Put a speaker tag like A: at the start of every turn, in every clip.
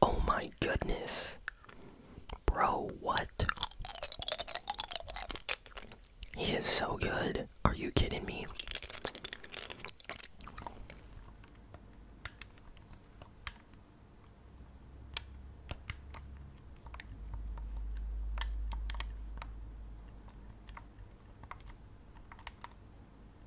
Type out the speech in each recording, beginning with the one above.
A: Oh my goodness. Bro, what? He is so good. Are you kidding me?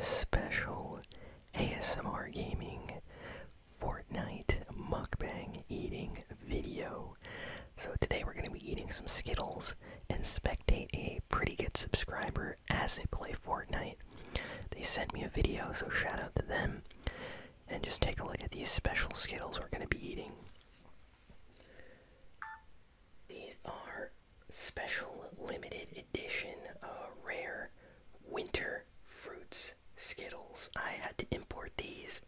A: special ASMR gaming Fortnite mukbang eating video. So today we're going to be eating some Skittles and spectate a pretty good subscriber as they play Fortnite. They sent me a video, so shout out to them. And just take a look at these special Skittles we're going to be eating. These are special limited edition uh, rare winter fruits Skittles. I had to import these.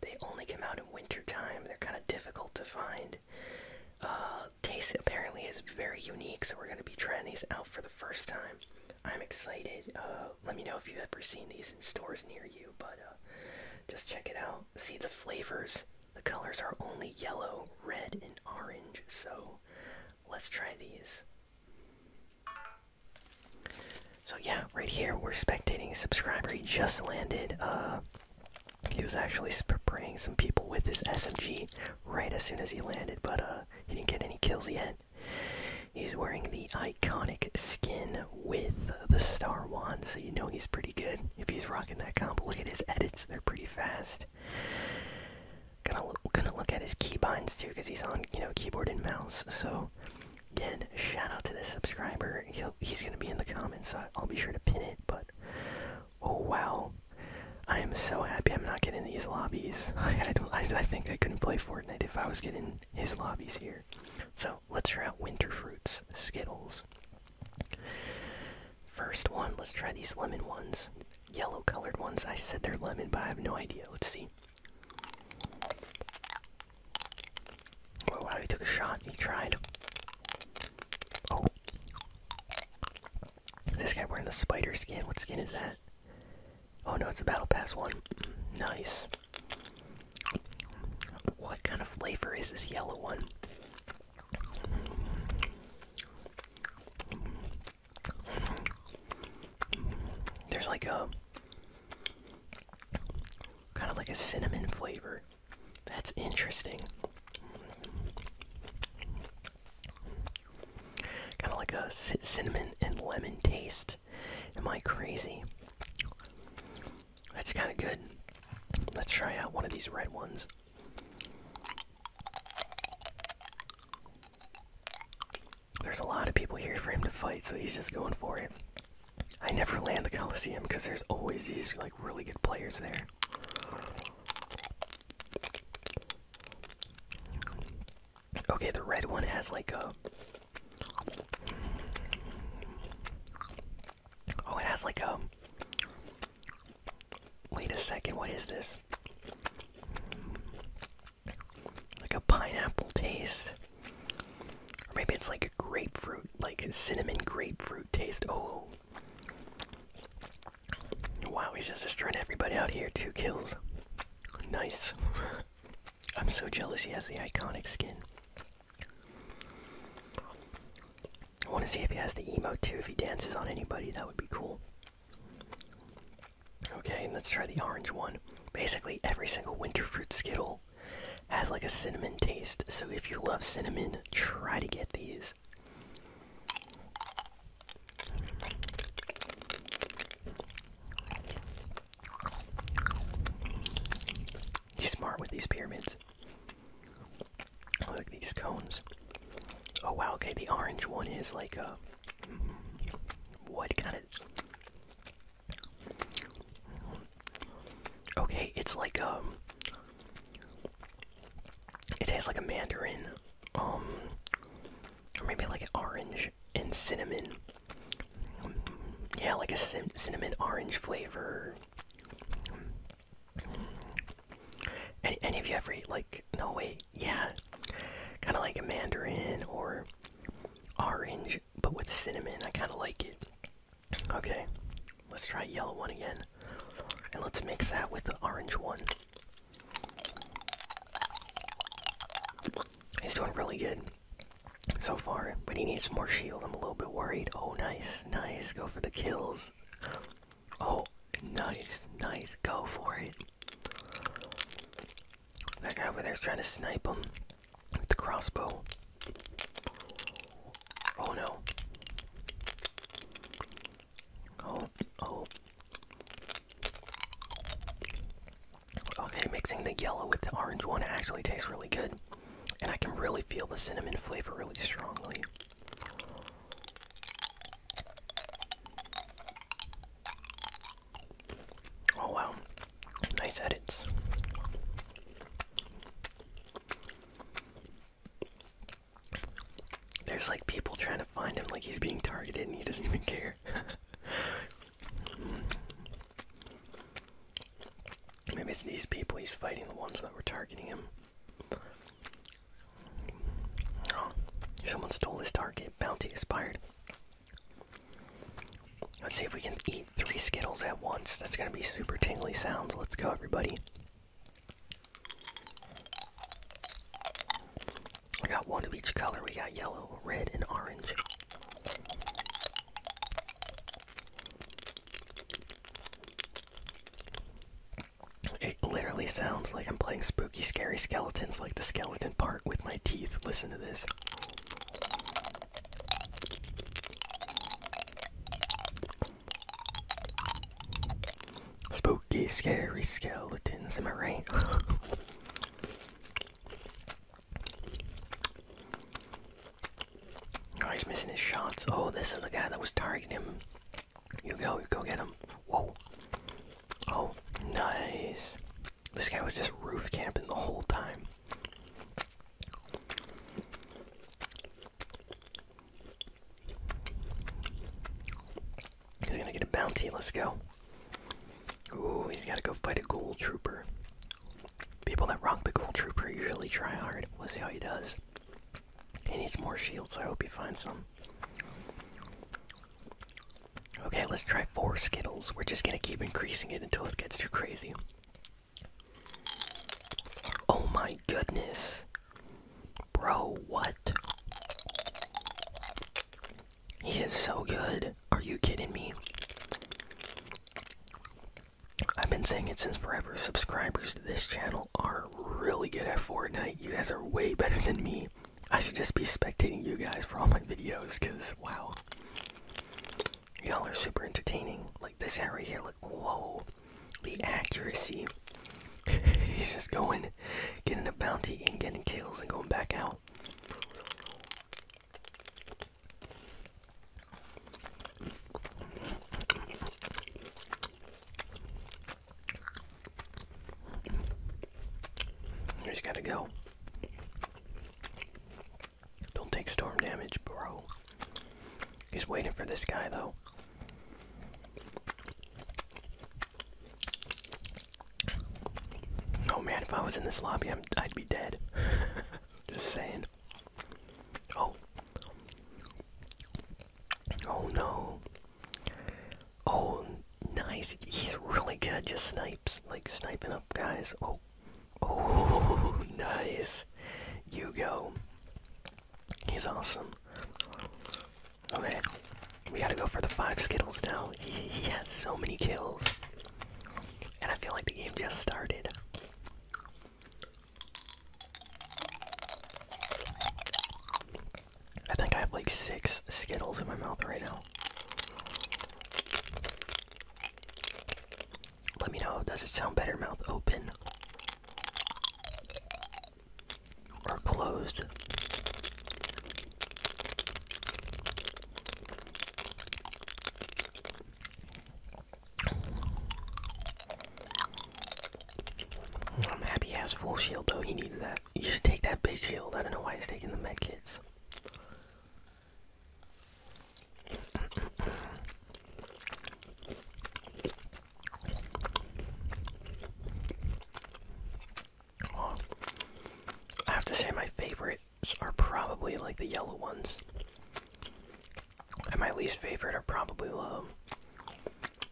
A: They only come out in winter time. They're kind of difficult to find. Uh, taste apparently is very unique, so we're going to be trying these out for the first time. I'm excited. Uh, let me know if you've ever seen these in stores near you, but uh, just check it out. See the flavors. The colors are only yellow, red, and orange, so Let's try these. So yeah, right here we're spectating a subscriber. He just landed. Uh, he was actually spraying some people with his SMG right as soon as he landed, but uh, he didn't get any kills yet. He's wearing the iconic skin with the star wand, so you know he's pretty good if he's rocking that combo. Look at his edits; they're pretty fast. Gonna gonna look at his keybinds too, because he's on you know keyboard and mouse. So again, shout out to the subscriber. He'll, he's gonna be in the comments. So I'll be sure to pin it. But oh wow, I am so happy I'm not getting these lobbies. I, don't. I, I think I couldn't play Fortnite if I was getting his lobbies here. So let's try out winter fruits, Skittles. First one, let's try these lemon ones. Yellow colored ones. I said they're lemon, but I have no idea. Let's see. Oh he took a shot. He tried. Oh. this guy wearing the spider skin? What skin is that? Oh no, it's a Battle Pass one. Nice. What kind of flavor is this yellow one? There's like a kind of like a cinnamon flavor. That's interesting. Kind of like a cinnamon and lemon taste. Am I crazy? That's kind of good. Let's try out one of these red ones. There's a lot of people here for him to fight, so he's just going for it. I never land the Coliseum because there's always these like really good players there. Okay, the red one has like a Oh, it has like a Wait a second, what is this? Like a pineapple taste. Or maybe it's like a grapefruit, like cinnamon grapefruit taste. Oh. Wow, he's just destroying everybody out here. Two kills. Nice. I'm so jealous he has the iconic skin. I want to see if he has the emote too. If he dances on anybody, that would be cool. Okay, let's try the orange one. Basically, every single winter fruit Skittle has like a cinnamon taste, so if you love cinnamon, try to get these. He's smart with these pyramids. Look at these cones. Oh wow, okay, the orange one is like a uh, what kind of. Okay, it's like um. It tastes like a mandarin, um. Or maybe like an orange and cinnamon. Yeah, like a cinnamon orange flavor. Any, any of you ever eat like no way yeah, kind of like a mandarin or orange, but with cinnamon. I kind of like it. Okay, let's try yellow one again, and let's mix that with the orange one. He's doing really good so far, but he needs more shield. I'm a little bit worried. Oh, nice, nice. Go for the kills. Oh, nice, nice. Go for it. That guy over there's trying to snipe him with the crossbow. Oh no. Oh, oh. Okay, mixing the yellow with the orange one actually tastes really good. And I can really feel the cinnamon flavor really strongly. Oh wow, nice edits. There's like people trying to find him, like he's being targeted, and he doesn't even care. Maybe it's these people he's fighting, the ones that were targeting him. Oh, someone stole this target bounty expired. Let's see if we can eat three Skittles at once. That's gonna be super tingly sounds. Let's go, everybody. We got one of each color. We got yellow, red, and orange. It literally sounds like I'm playing spooky, scary skeletons, like the skeleton part with my teeth. Listen to this. Spooky, scary skeletons, in I rain. oh, he's missing his shots. Oh, this is the guy that was targeting him. You go, you go get him. Whoa. Oh, nice. This guy was just roof camping the whole time. He's gonna get a bounty. Let's go. Ooh, he's gotta go fight a gold trooper. People that rock the gold trooper usually try hard. Let's see how he does. He needs more shields, I hope he finds some. Okay, let's try four Skittles. We're just gonna keep increasing it until it gets too crazy. Oh my goodness. Bro, what? He is so good. Are you kidding me? I've been saying it since forever. Subscribers to this channel are really good at Fortnite. You guys are way better than me. I should just be spectating you guys for all my videos, cause wow, y'all are super entertaining. Like this hat right here, like whoa, the accuracy. He's just going, getting a bounty and getting kills and going back out. He's gotta go. Don't take storm damage, bro. He's waiting for this guy, though. Oh man, if I was in this lobby, i I'd be dead. Just saying. Oh. Oh no. Oh, nice. He's really good. Just snipes, like sniping up guys. Oh, oh, nice. You go. He's awesome. Okay, we gotta go for the five Skittles now. He, he has so many kills. And I feel like the game just started. I think I have like six Skittles in my mouth right now. Let me know, does it sound better mouth open or closed? I'm happy he has full shield though, he needed that. You should take that big shield. I don't know why he's taking the med kits. I have to say my favorites are probably like the yellow ones. And my least favorite are probably uh,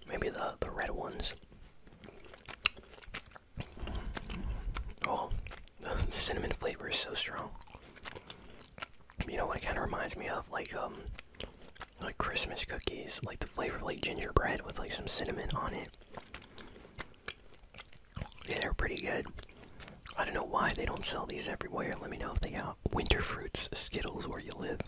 A: maybe the the red ones. Oh, the cinnamon flavor is so strong. You know what it kind of reminds me of? Like, um, like Christmas cookies, like the flavor of like gingerbread with like some cinnamon on it. Yeah, they're pretty good. I don't know why they don't sell these everywhere. Let me know if they got winter fruits, Skittles, where you live.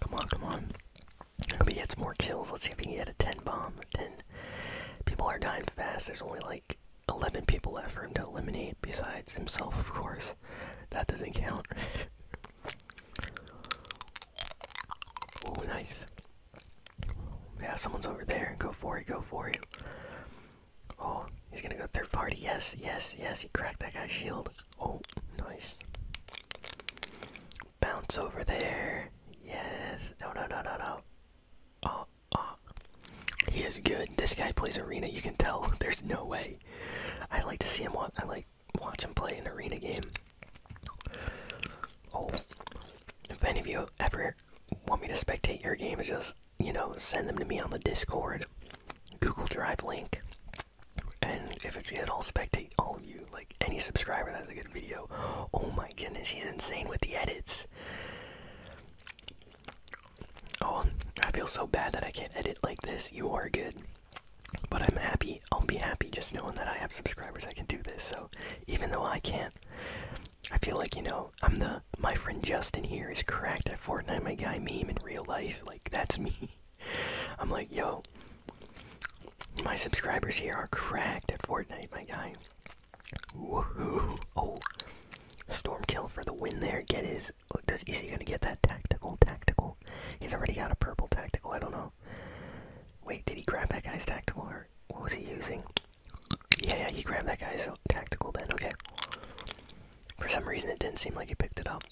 A: Come on, come on. Hope he gets more kills. Let's see if he can get a 10 bomb. 10. People are dying fast. There's only like 11 people left for him to eliminate, besides himself, of course. That doesn't count. Oh, nice. Yeah, someone's over there. Go for it, go for it. Oh, he's gonna go third party. Yes, yes, yes. He cracked that guy's shield. Oh, nice. Bounce over there. Yes. No, no, no, no, no. Oh, oh. He is good. This guy plays arena. You can tell. There's no way. I like to see him. I like watch him play an arena game. Oh, if any of you ever want me to spectate your games, just, you know, send them to me on the Discord, Google Drive link. And if it's good, I'll spectate all of you. Like, any subscriber that's a good video. Oh my goodness, he's insane with the edits. Oh, I feel so bad that I can't edit like this. You are good. But I'm happy. I'll be happy just knowing that I have subscribers. I can do this. So even though I can't, I feel like you know I'm the my friend Justin here is cracked at Fortnite. My guy meme in real life. Like that's me. I'm like yo. My subscribers here are cracked at Fortnite. My guy. Woohoo! Oh, storm kill for the win there. Get his. Does is he gonna get that tactical? Tactical. He's already got a purple tactical. I don't know. Wait, did he grab that guy's tactical or what was he using? Yeah, yeah, he grabbed that guy's tactical then, okay. For some reason it didn't seem like he picked it up.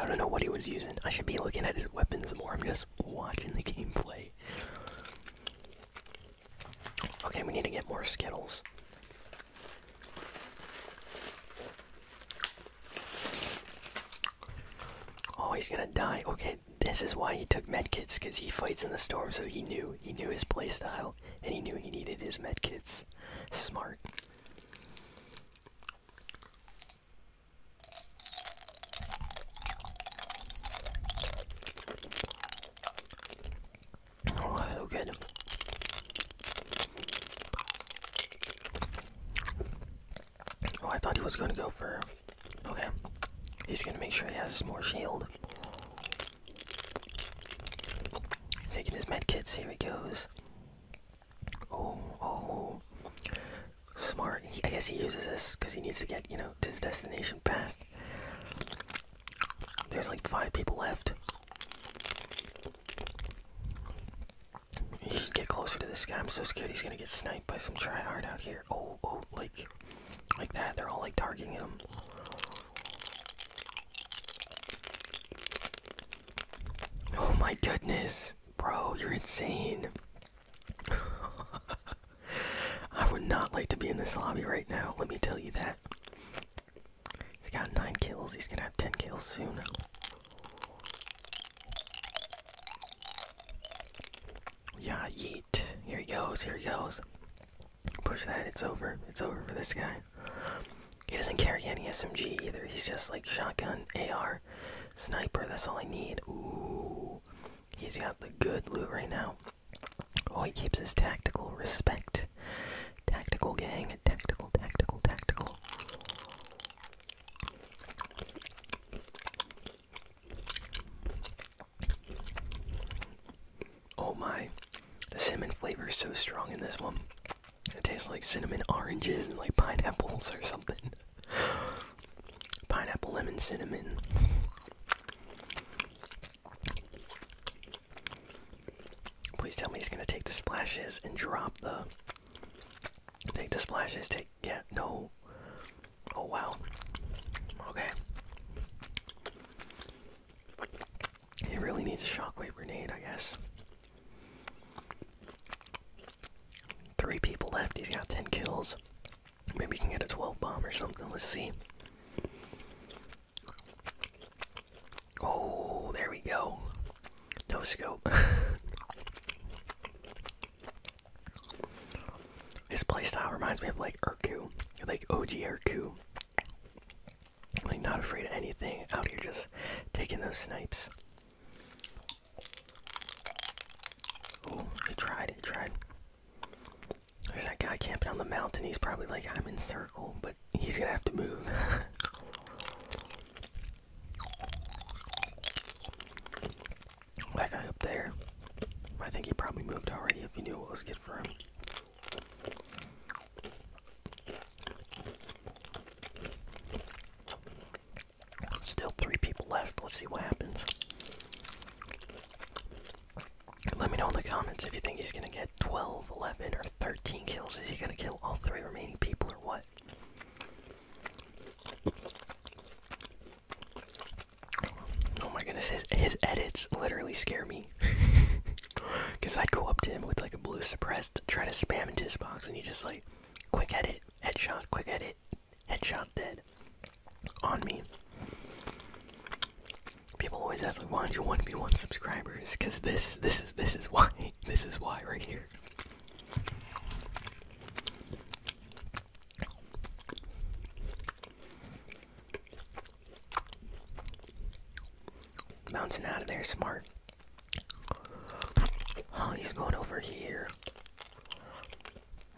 A: I don't know what he was using. I should be looking at his weapons more. I'm just watching the gameplay. Okay, we need to get more Skittles. Oh, he's gonna die. Okay, this is why he took medkits, because he fights in the storm, so he knew. He knew his playstyle, and he knew he needed his medkits. Smart. Oh, so good. Oh, I thought he was gonna go for. Okay, he's gonna make sure he has more shield. Taking his med kits. Here he goes. Oh, oh, smart. I guess he uses this because he needs to get you know to his destination fast. There's like five people left. You should get closer to this guy. I'm so scared he's gonna get sniped by some tryhard out here. Oh, oh, like, like that. They're all like targeting him. Oh my goodness, bro, you're insane. I would not like to be in this lobby right now. Let me tell you that. He's got nine kills. He's gonna have ten kills soon. Yeah, yeet. Here he goes, here he goes. Push that, it's over. It's over for this guy. He doesn't carry any SMG either. He's just like shotgun, AR, sniper. That's all I need. Ooh. He's got the good loot right now. Oh, he keeps his tactical respect. Tactical gang. Tactical, tactical, tactical. Oh my, the cinnamon flavor is so strong in this one. It tastes like cinnamon oranges and like pineapples or something. Pineapple, lemon, cinnamon. Please tell me he's gonna take the splashes and drop the. Take the splashes, take. Yeah, no. Oh wow. Okay. he really needs a shockwave grenade, I guess. Three people left. He's got 10 kills. Maybe we can get a 12 bomb or something. Let's see. Oh, there we go. No scope. This playstyle reminds me of like Urku, like OG Urku. Like not afraid of anything, out here just taking those snipes. Oh, he tried, he tried. There's that guy camping on the mountain. He's probably like, I'm in circle, but he's gonna have to move. That guy up there. I think he probably moved already if he knew what was good for him. Still three people left. Let's see what happens. Let me know in the comments if you think he's gonna get 12, 11, or 13 kills. Is he gonna kill all three remaining people or what? Oh my goodness, his, edits literally scare me. Because I'd go up to him with like a blue suppressed, to try to spam into his box, and he just like, quick edit, headshot, quick edit, headshot, dead. On me. People always ask, like, why don't you want to be one subscribers? Because this, this is, this is why. This is why right here. Bouncing out of there, smart. Oh, he's going over here.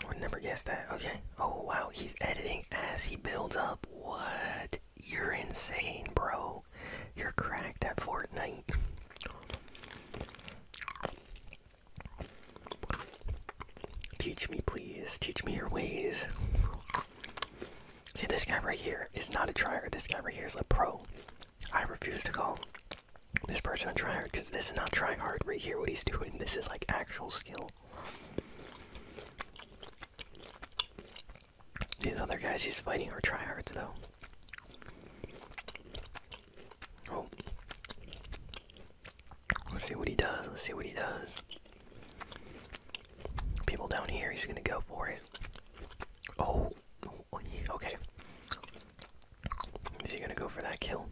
A: I would never guess that. Okay. Oh, wow. He's editing as he builds up. What? You're insane, bro. You're cracked at Fortnite. Teach me, please. Teach me your ways. See, this guy right here is not a trier. This guy right here is a pro. I refuse to call this person a tryhard because this is not tryhard right here, what he's doing. This is like actual skill. These other guys he's fighting are tryhards, though. Oh. Let's see what he does. Let's see what he does. People down here, he's gonna go for it. Oh, oh okay. Is he gonna go for that kill?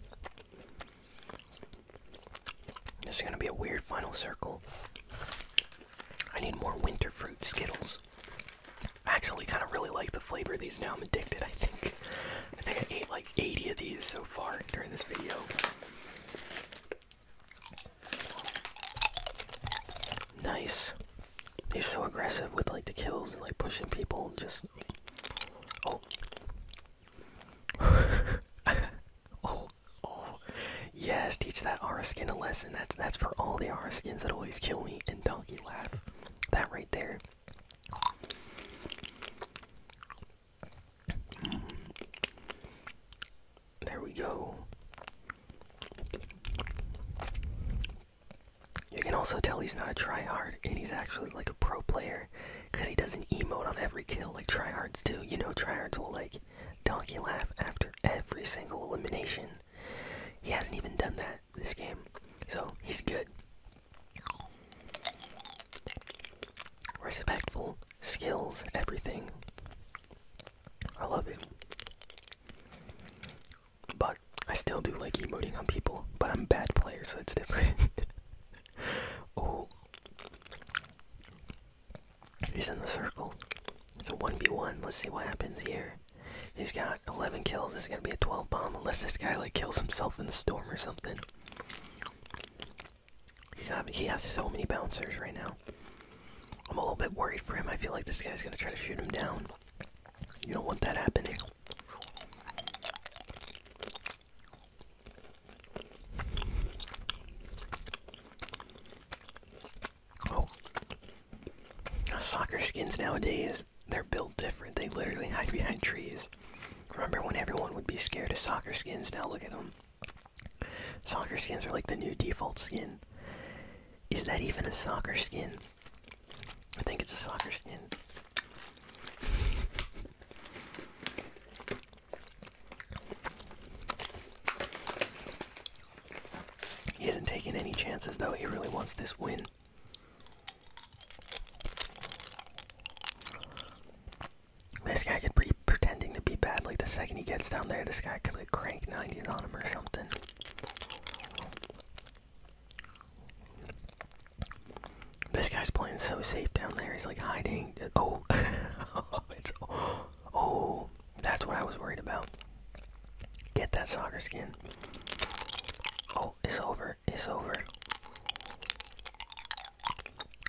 A: This is gonna be a weird final circle. I need more winter fruit Skittles. I actually kind of really like the flavor of these now. I'm addicted, I think. I think I ate like 80 of these so far during this video. Nice. He's so aggressive with like the kills and like pushing people just oh oh oh yes teach that Aura skin a lesson that's that's for all the Aura skins that always kill me and donkey laugh that right there there we go. You can also tell he's not a tryhard, and he's actually like a pro player, because he does an emote on every kill like tryhards do. You know, tryhards will like donkey laugh after every single elimination. He hasn't even done that this game, so he's good. Respectful, skills, everything. I love him, But I still do like emoting on people, but I'm a bad player, so it's different. oh. He's in the circle. It's a 1v1. Let's see what happens here. He's got 11 kills. This is going to be a 12 bomb, unless this guy, like, kills himself in the storm or something. He's having, he has so many bouncers right now. I'm a little bit worried for him. I feel like this guy's gonna try to shoot him down. You don't want that happening. Oh, soccer skins nowadays—they're built different. They literally hide behind trees. Remember when everyone would be scared of soccer skins? Now look at them. Soccer skins are like the new default skin. Is that even a soccer skin? I think it's a soccer skin. He isn't taking any chances though, he really wants this win. This guy could be pretending to be bad. Like the second he gets down there, this guy could crank 90s on him or something. This guy's playing so safe down there. He's like hiding. Oh, it's oh, that's what I was worried about. Get that soccer skin. Oh, it's over. It's over.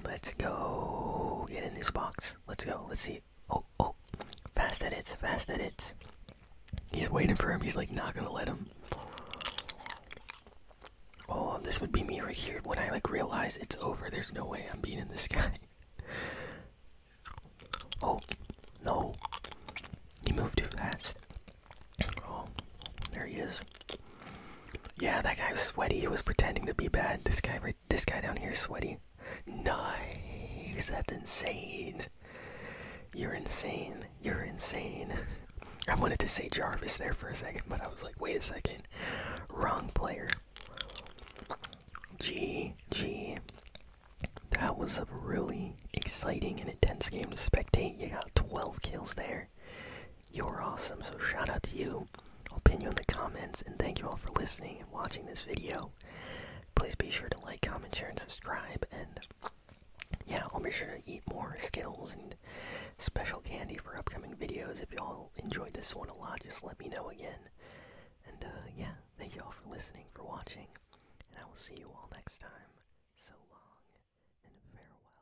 A: Let's go get in this box. Let's go. Let's see. Oh, oh. Fast edits. Fast edits. He's waiting for him. He's like not gonna let him. Oh, this would be me right here when I like realize it's over. There's no way I'm beating this guy. Oh, no. He moved too fast. Oh, there he is. Yeah, that guy was sweaty. He was pretending to be bad. This guy this guy down here, sweaty. Nice. That's insane. You're insane. You're insane. I wanted to say Jarvis there for a second, but I was like, wait a second. Wrong player. G G. That was a really exciting and intense game to spectate. You got 12 kills there. You're awesome, so shout out to you. I'll pin you in the comments, and thank you all for listening and watching this video. Please be sure to like, comment, share, and subscribe, and yeah, I'll be sure to eat more Skittles and special candy for upcoming videos. If y'all enjoyed this one a lot, just let me know again. And uh, yeah, thank you all for listening, for watching, and I will see you all next time. So long, and farewell.